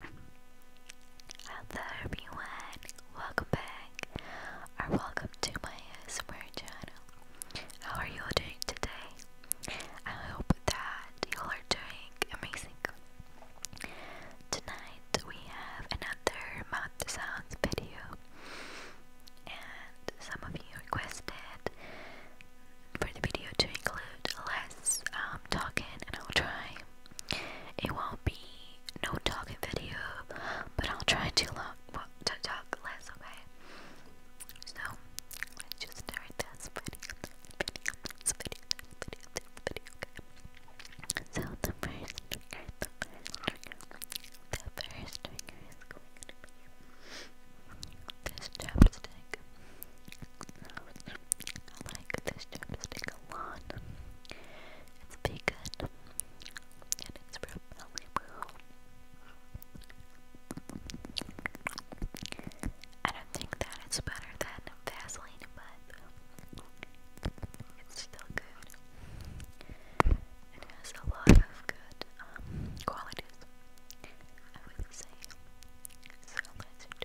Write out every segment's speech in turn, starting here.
Hello everyone, welcome back or welcome to my ASMR channel. How are you all doing today? I hope that you all are doing amazing. Tonight we have another mouth sounds video and some of you requested for the video to include less um, talking and I'll try it won't be no talking video, but I'll try to, long, well, to talk less, okay? So, just start this video, this video, this video, this video, So, the first the first this chapstick. I like this chapstick a lot. It's vegan and it's from Malibu. I don't think that it's better than Vaseline, but it's still good. It has a lot of good um, qualities, I would say. So let's just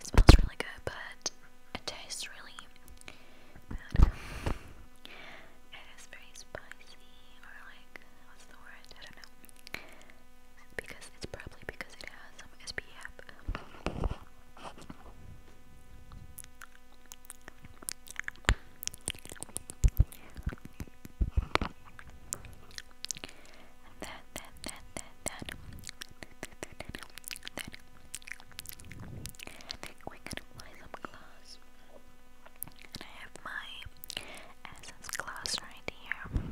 It smells really good, but it tastes really bad. It is very spicy, or like, what's the word? I don't know. Because it's probably because it has some SPF that, that, that, that, that, that. we're gonna play some glass. And I have my essence glass right here.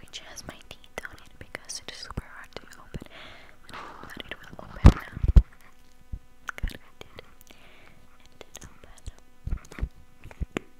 Which has my teeth on it because it is super hard to open. And it will open now. it It did open.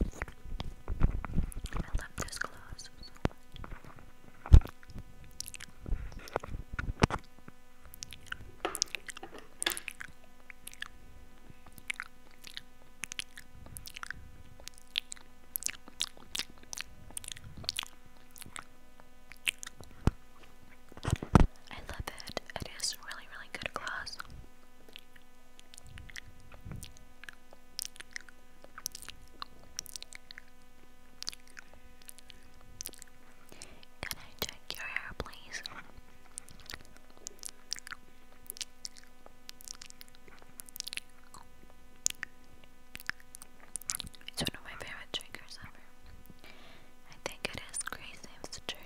I love this glass so much. I love it. It is really, really good gloss. Can I check your hair, please? It's one of my favorite triggers ever. I think it is Grace Ames trigger.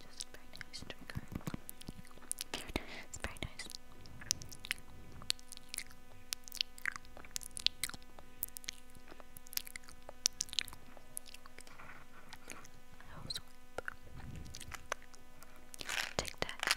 Just very nice trigger. It's very nice. Take that.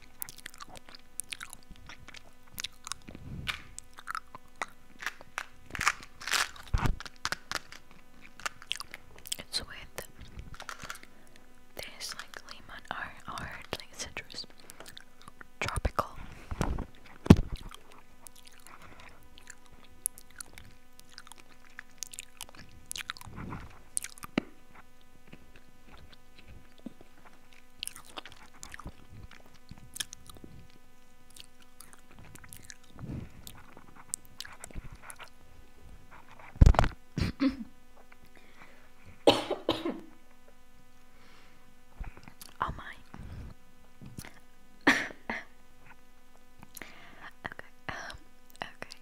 It's with this like lemon or or like citrus tropical. oh my. okay. Um, okay.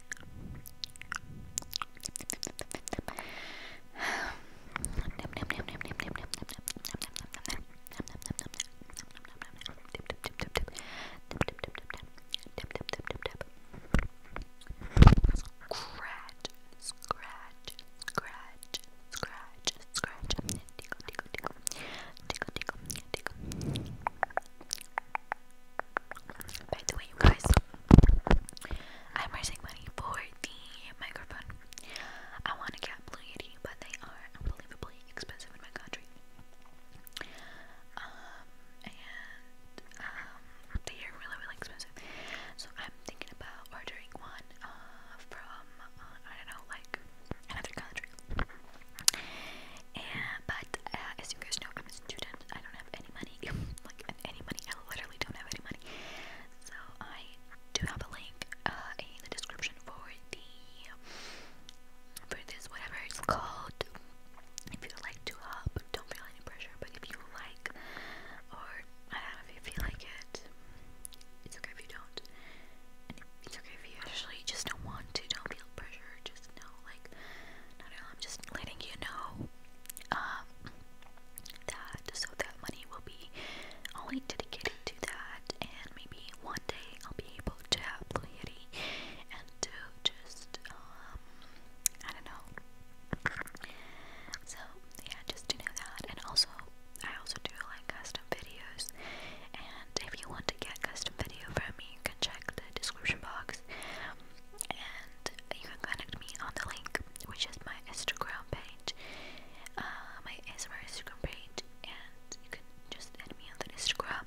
Scratch, scratch, scratch, scratch, scratch. Tickle, tickle, tickle, tickle, tickle, tickle. By the way, you guys, I'm raising money for the microphone. I want to get Blue Yeti, but they are unbelievably expensive in my country. Um, and um, they are really, really expensive. So I'm thinking about ordering one uh, from, uh, I don't know, like another country. And, but uh, as you guys know, I'm a student. I don't have any money, like any money, I literally don't have any money, so I do have a link uh, in the description for the, for this, whatever it's called, if you like to help, don't feel any pressure, but if you like, or I don't know if you feel like it, it's okay if you don't, it's okay if you actually just don't want to, don't feel pressure, just know, like, no, no, I'm just letting you know um, that so that money will be only dedicated to that, and maybe one day I'll be able to have Lady and to just um, I don't know. So yeah, just to know that, and also I also do like custom videos, and if you want to get custom video from me, you can check the description box and you can connect me on the link, which is my Instagram page, uh, my Instagram page, and you can just add me on the Instagram.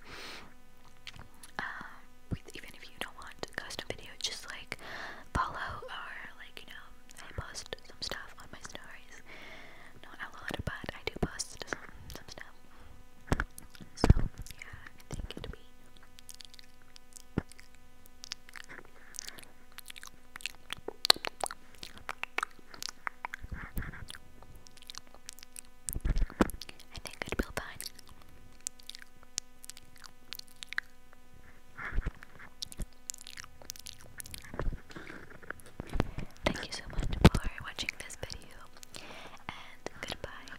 Um, with, even if you don't want a custom video, just like follow or like you know, I post some stuff on my stories. Not a lot, of but I do post some some stuff. So yeah, I think I think it will fine. Thank you so much for watching this video, and goodbye.